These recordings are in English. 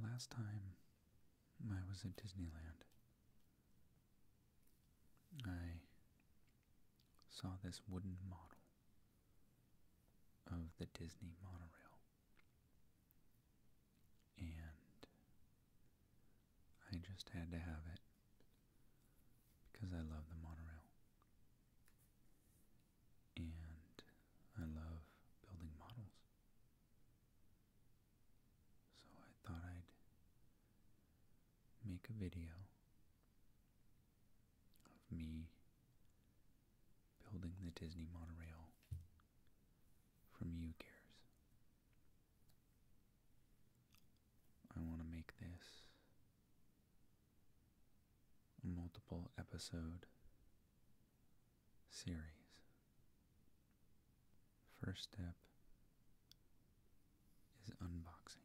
The last time I was at Disneyland, I saw this wooden model of the Disney monorail. And I just had to have it because I love the monorail. And I love building models. So I thought I'd make a video of me building the Disney monorail from You Cares. I want to make this multiple episode series. First step is unboxing.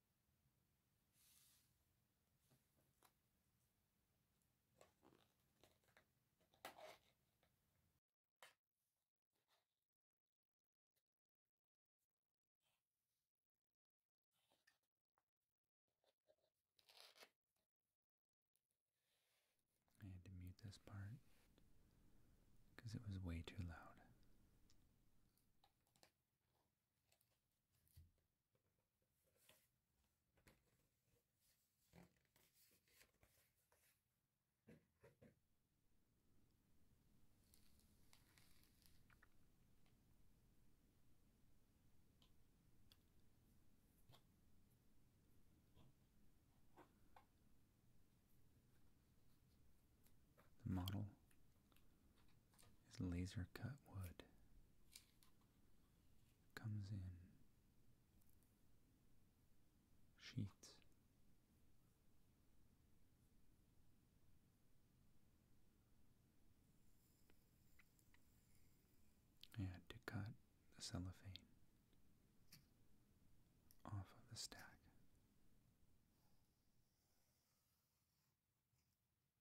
I had to mute this part because it was way too loud. The model is laser cut wood. Comes in sheets. I had to cut the cellophane off of the stack.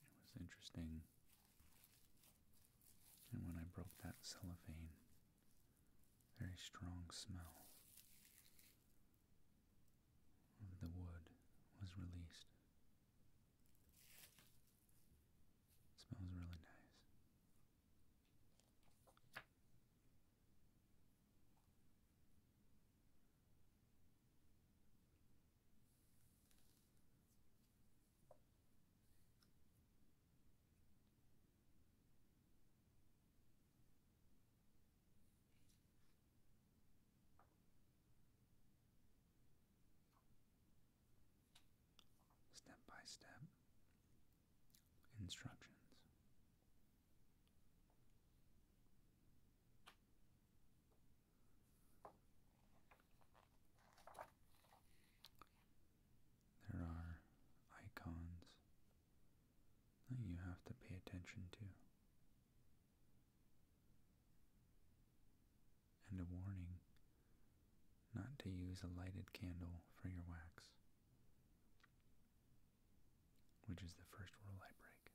It was interesting. And when I broke that cellophane, very strong smell of the wood was released. smells really nice. Step by step instructions. There are icons that you have to pay attention to. And a warning not to use a lighted candle for your wax, which is the first rule I break.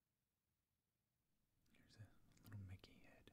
Here's a little Mickey head.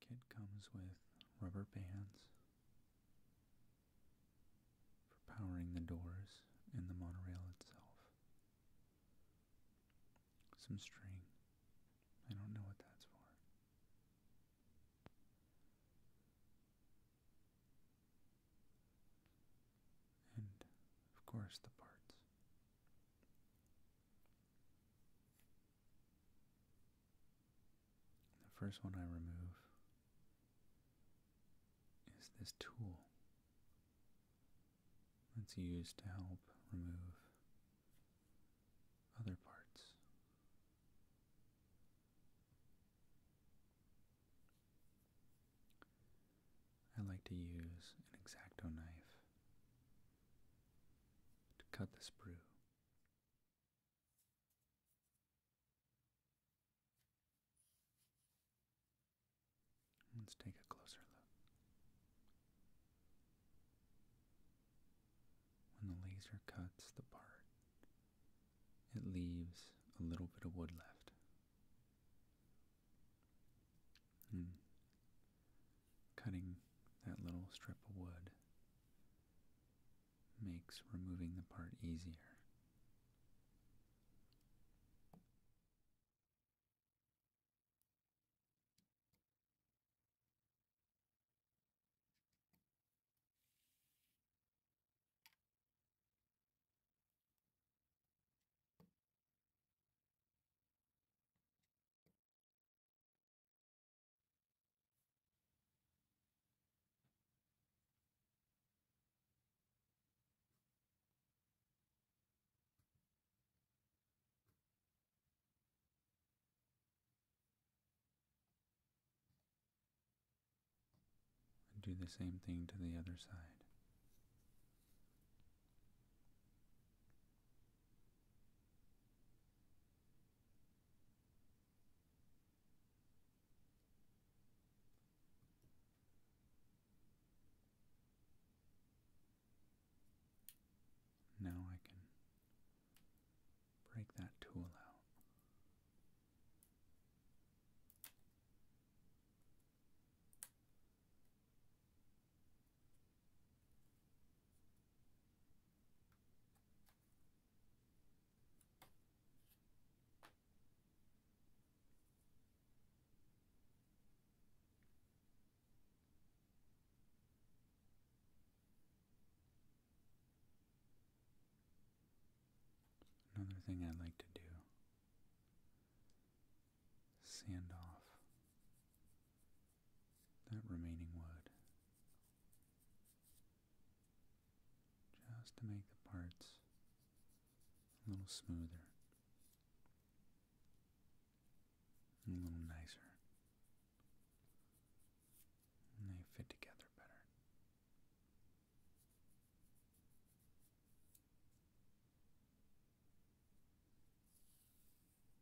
Kit comes with rubber bands for powering the doors and the monorail itself. Some string. I don't know what that's for. And, of course, the parts. The first one I remove is this tool that's used to help remove other parts. I like to use an Exacto knife to cut the sprue. Let's take a closer look. When the laser cuts the part, it leaves a little bit of wood left. Hmm. cutting that little strip of wood makes removing the part easier. And do the same thing to the other side. Now I can break that tool out. Another thing I like to do sand off that remaining wood just to make the parts a little smoother, a little nicer, and they fit together better.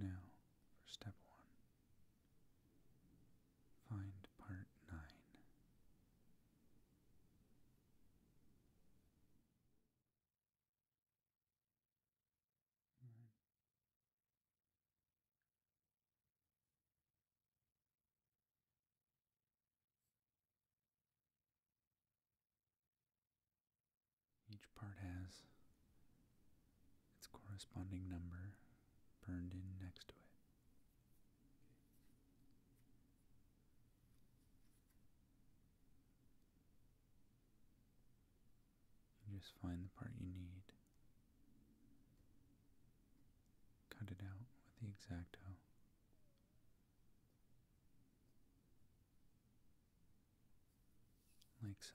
Now for step one. Find part nine. Each part has its corresponding number burned in next to it. just find the part you need. Cut it out with the exacto. Like so.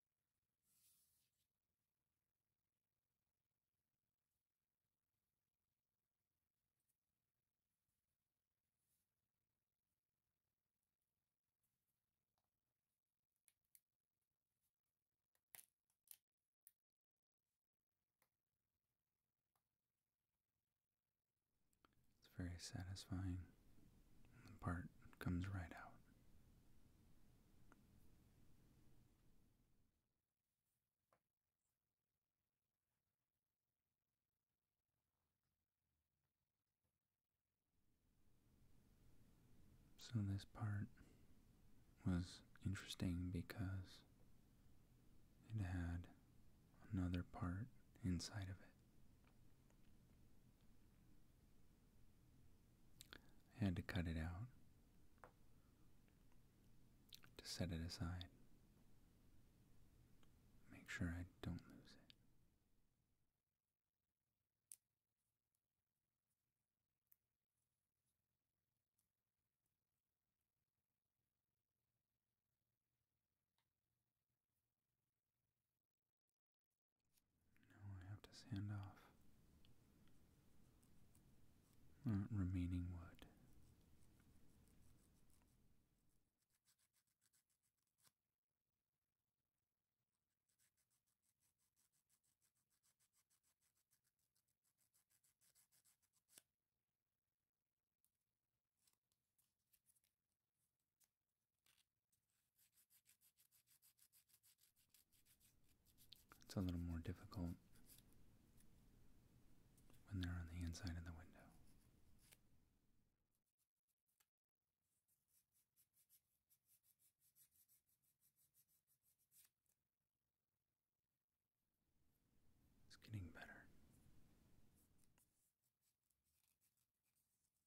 It's very satisfying. The part comes right out. So this part was interesting because it had another part inside of it. I had to cut it out to set it aside. Make sure I don't lose it. Now I have to sand off that remaining wood. It's a little more difficult when they're on the inside of the window. It's getting better.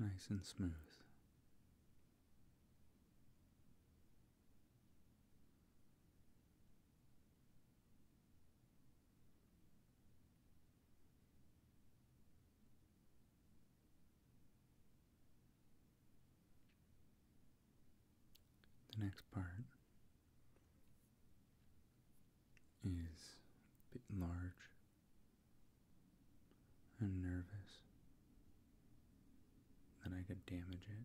Nice and smooth. The next part is a bit large and nervous that I could damage it.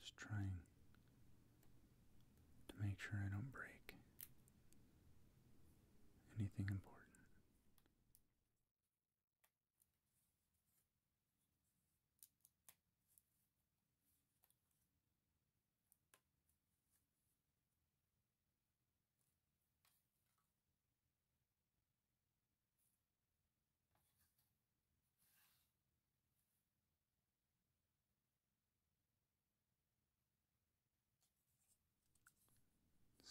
Just trying to make sure I don't break anything important.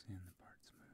Seeing the part smooth.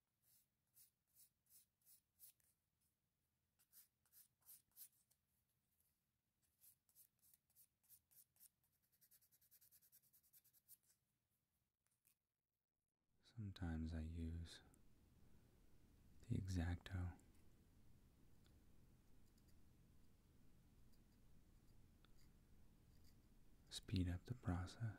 Sometimes I use the Exacto. Speed up the process.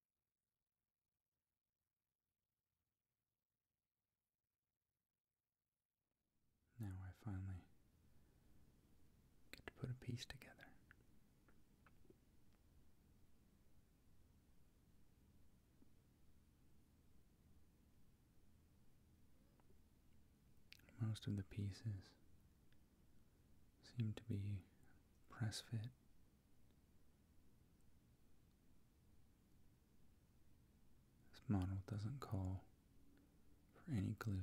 Now I finally get to put a piece together. Most of the pieces seem to be press fit this model doesn't call for any glue.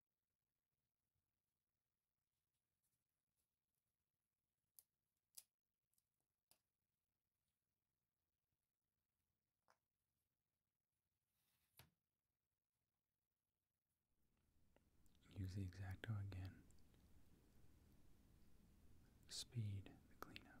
Use the Exacto again. Speed the cleanup.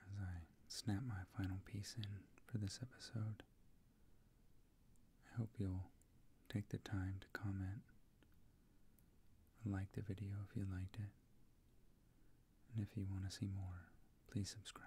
As I snap my final piece in for this episode, I hope you'll take the time to comment like the video if you liked it. And if you want to see more, please subscribe.